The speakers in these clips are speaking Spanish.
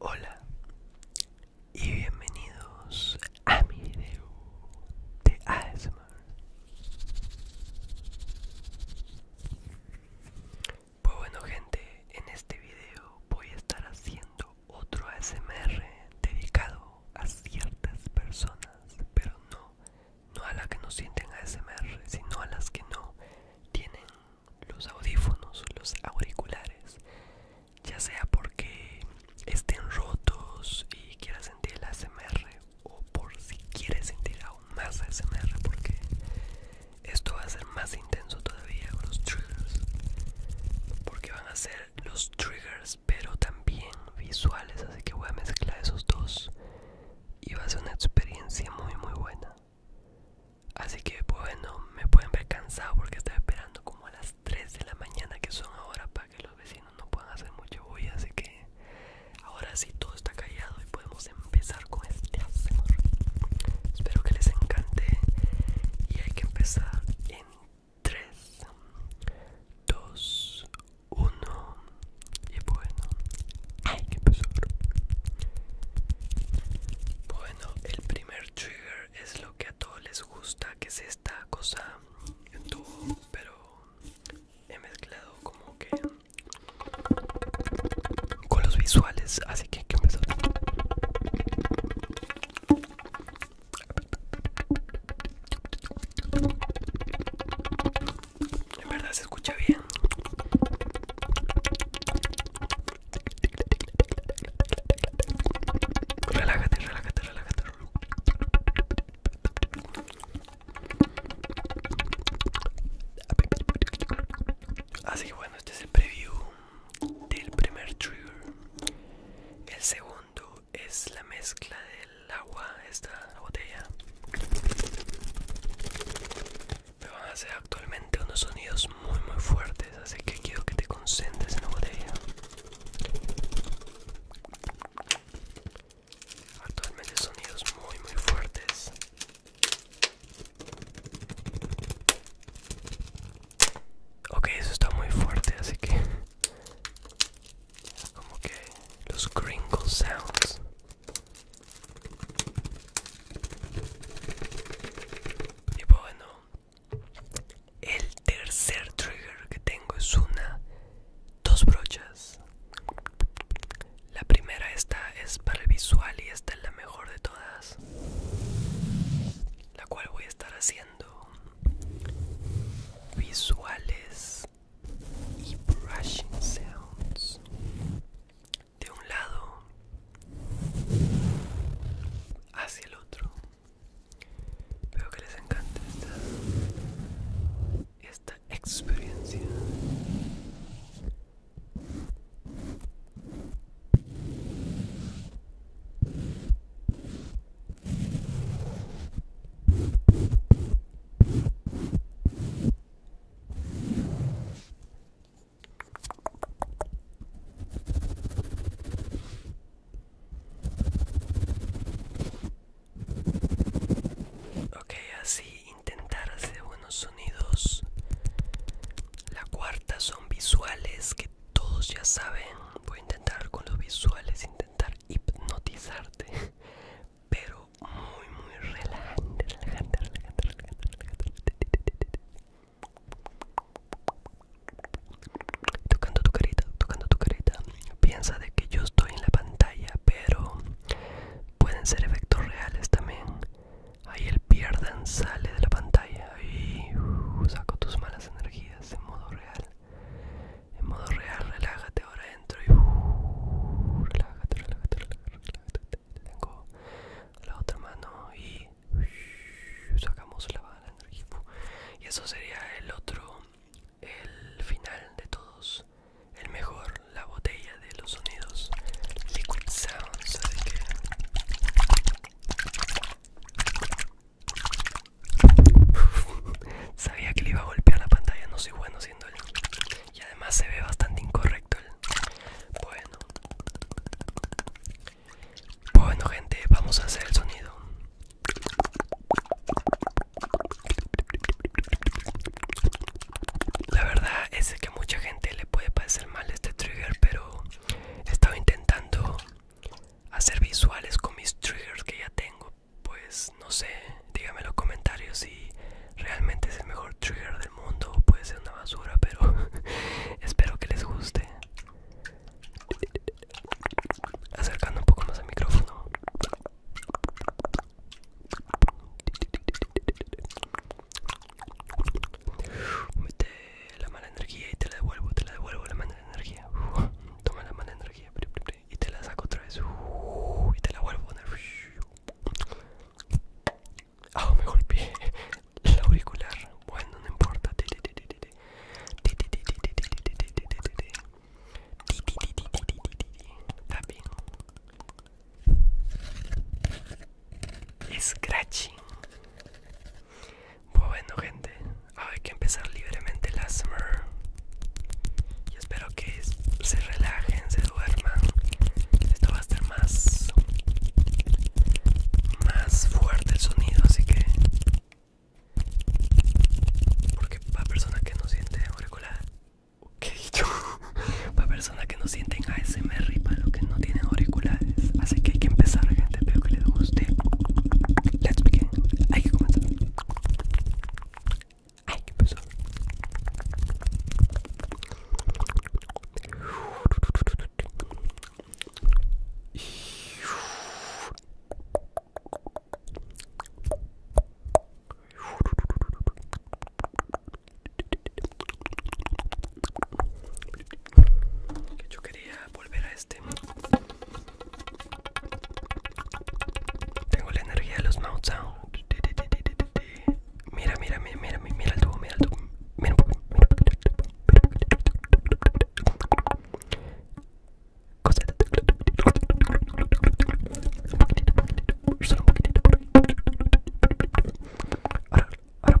Hola y bienvenidos a mi video de ASMR. Pues bueno gente, en este video voy a estar haciendo otro ASMR dedicado a ciertas personas, pero no, no a las que no sienten ASMR, sino a las que no tienen los audífonos, los auriculares, ya sea porque estén rotos y quieras sentir el ASMR o por si quieres sentir aún más ASMR porque esto va a ser más intenso todavía con los triggers porque van a ser los triggers pero también visuales así que voy a mezclar esos dos y va a ser una experiencia muy muy buena así que bueno me pueden ver cansado porque estaba esperando como a las 3 de la mañana que son ahora para que los vecinos no puedan hacer mucho bulla así que ahora sí todo está callado y podemos empezar con este espero que les encante y hay que empezar en 3, 2, 1 y bueno, hay que empezar. Bueno, el primer trigger es lo que a todos les gusta, que es esta cosa en tubo, pero he mezclado como que con los visuales, así que hay que empezar. De verdad se escucha bien. Relájate, relájate, relájate. Así ah, que bueno, este es el preview del primer trigger. El segundo es la mezcla del agua, esta botella. Me van a hacer actualmente unos sonidos muy muy fuertes, así que quiero que te concentres en la botella. Actualmente sonidos muy muy fuertes. Ok, eso está muy fuerte, así que... Como que los crinkle sounds. Y bueno, el tercer trigger que tengo es una, dos brochas. La primera esta es para el visual y esta es la mejor de todas. La cual voy a estar haciendo visuales y brushing sounds de un lado hacia el otro espero que les encanta esta, esta experiencia Ok, así intentar hacer buenos sonidos. La cuarta son visuales que todos ya saben. Voy a intentar con los visuales intentar hipnotizarte, pero muy, muy relajante, relajante, relajante, relajante, Tocando tu carita, tocando tu carita. Piensa de que yo estoy en la pantalla, pero pueden ser efectos reales también. Ahí el pierdan sale de la pantalla y uh, saco tus malas energías en modo real en modo real, relájate ahora dentro y uh, relájate, relájate, relájate, relájate. Tengo la otra mano y uh, sacamos la, banda energía. y eso sería el otro, el final de todos, el mejor, la botella de los sonidos, Liquid Sounds. Sabía que le iba a golpear la pantalla, no soy bueno siendo él Y además se ve bastante incorrecto el... Bueno. Bueno gente, vamos a hacer el sonido. La verdad es que a mucha gente le puede parecer mal este trigger, pero he estado intentando hacer visuales con mis triggers que ya tengo pues no sé dígame en los comentarios si realmente es el mejor trigger del mundo o puede ser una basura pero espero que les guste acercando un poco más al micrófono mete la mala energía y te la devuelvo te la devuelvo la energía, toma la mala energía y te la saco otra vez y te la vuelvo a poner. Ah, me golpeé el auricular. Bueno, no importa. Scratching. Pues bueno gente, hay que empezar libremente el ASMR Y espero que se relajen, se duerman Esto va a estar más, más fuerte el sonido, así que Porque para personas que no sienten auriculares ¿Qué yo? para personas que no sienten ASMR y para los que no tienen auriculares Así que hay que empezar interesante, espero que les guste. Let's begin. Hay que comenzar. Hay que empezar. Yo quería volver Tengo la energía de los Mount Sound. Mira, mira, mira, mira, mira el tubo, mira el Mira un Ahora, ahora,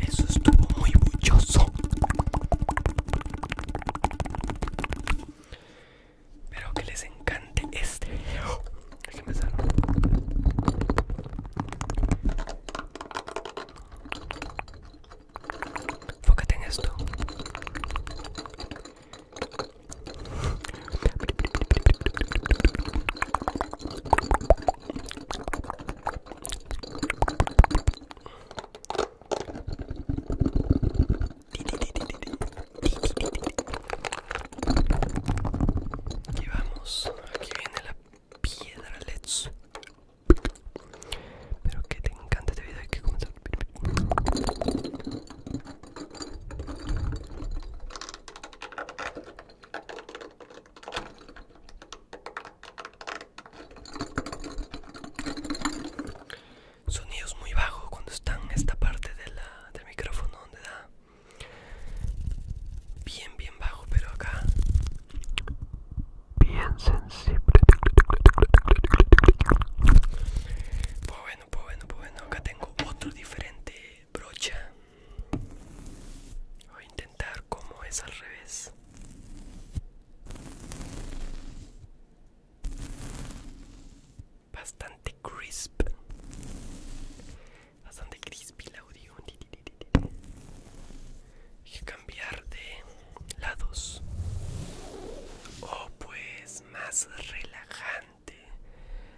Eso estuvo muy bulloso. Pero que les encante este. Déjenme que Fócate en esto. Aquí vamos, aquí viene la piedra, let's. Pero que te encanta este video, hay que comenzar. Sonidos muy bajos cuando están en esta parte del micrófono donde da bien bien bajo pero acá bien sensible pues bueno pues bueno pues bueno acá tengo otro diferente brocha voy a intentar como es al revés bastante crisp bastante crispy el audio hay que cambiar de lados o oh, pues más relajante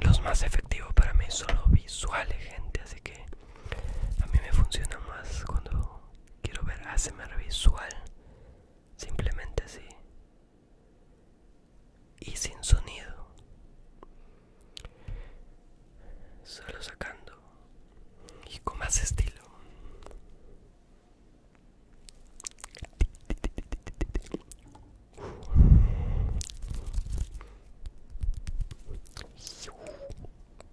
Los más efectivos para mí son los visuales, gente, así que a mí me funciona más cuando quiero ver ASMR visual, simplemente así, y sin sonido, solo sacando y con más estilo.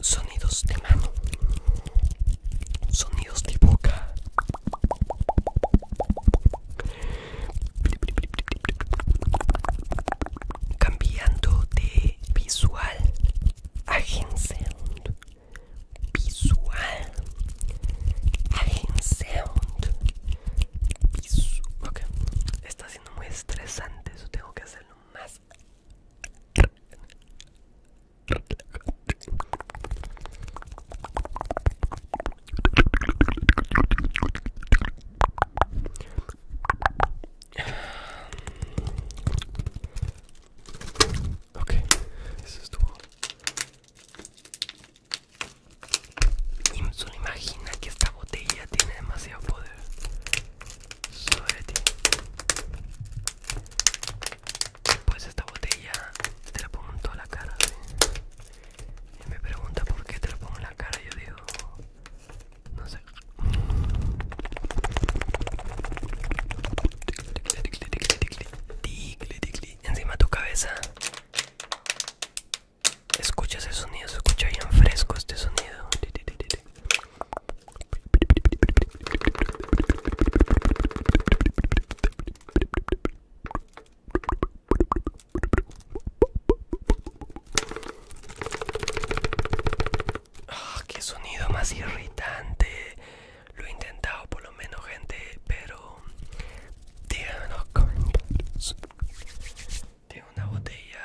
Sonidos de mano, sonidos de boca. Cambiando de visual agensound visual agensound piso ok está siendo muy estresante eso tengo que hacerlo más Ok, eso es Solo imagina que esta botella tiene demasiado poder sobre ti. Pues esta botella te la pongo en toda la cara. Y me pregunta por qué te la pongo en la cara. Yo digo, no sé. Encima tu cabeza. Escucha ese sonido, se escucha bien fresco este sonido. Que ah, ¡Qué sonido más irritante! Lo he intentado por lo menos, gente, pero... Díganme los comentarios. Tengo una botella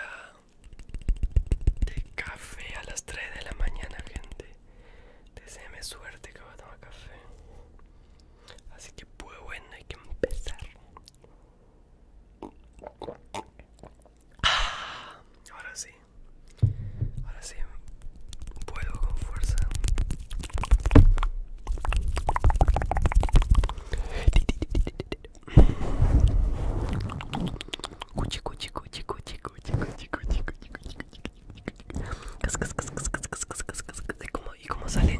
de café a las 3 de la mañana, gente. Deseame suerte que voy a tomar café. Así que, pues bueno, hay que empezar ahora sí, ahora sí, puedo con fuerza. Cuchi, cuchi, cuchi, cuchi, cuchi, ¿Y cómo salen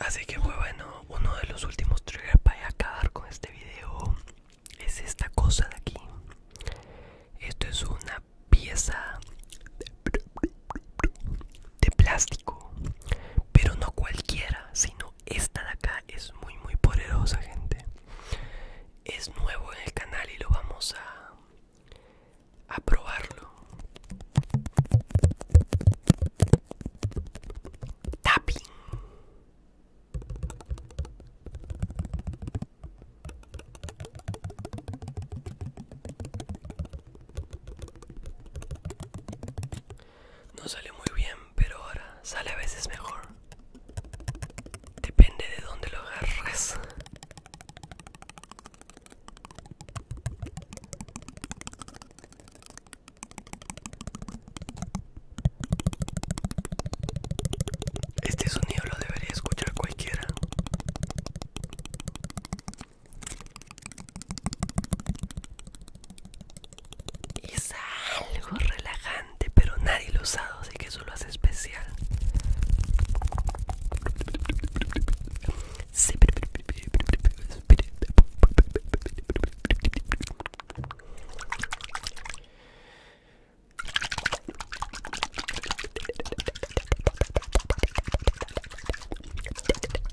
Así que pues, bueno, uno de los últimos triggers para acabar con este video es esta cosa de aquí. Esto es una pieza de plástico, pero no cualquiera, sino esta de acá es muy muy poderosa gente es nuevo en el canal y lo vamos a a probarlo tapping no sale muy bien, pero ahora sale a veces mejor. Depende de dónde lo agarres. Este sonido lo debería escuchar cualquiera es algo relajante, pero nadie lo ha usado, así que eso lo hace especial.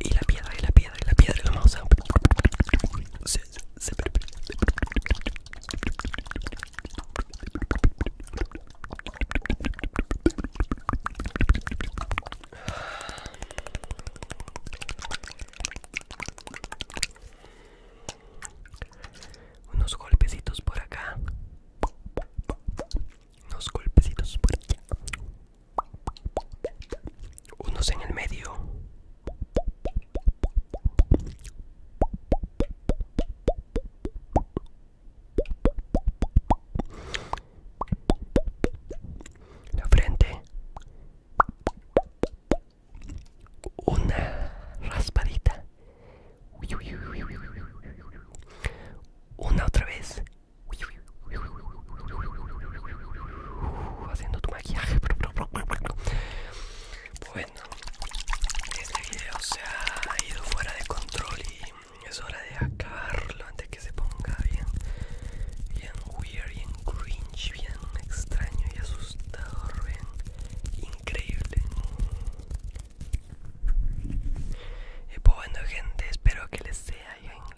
Y la piedra, y la piedra, y la piedra, y la vamos a... Unos golpecitos por acá. Unos golpecitos por allá unos en el medio la frente una raspadita una otra vez haciendo tu maquillaje. Bueno, este video se ha ido fuera de control y es hora de acabarlo antes que se ponga bien, bien weird, bien cringe, bien extraño y asustador, bien increíble. Y pues bueno gente, espero que les, sea,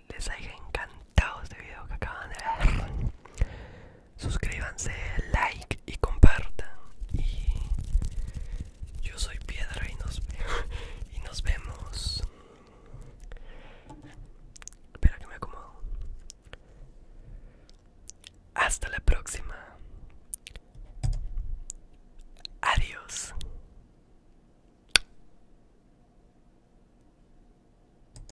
les haya encantado suscribanse de video que acaban de ver suscríbanse like y compartan y yo soy piedra y nos y nos vemos espera que me acomodo hasta la próxima adiós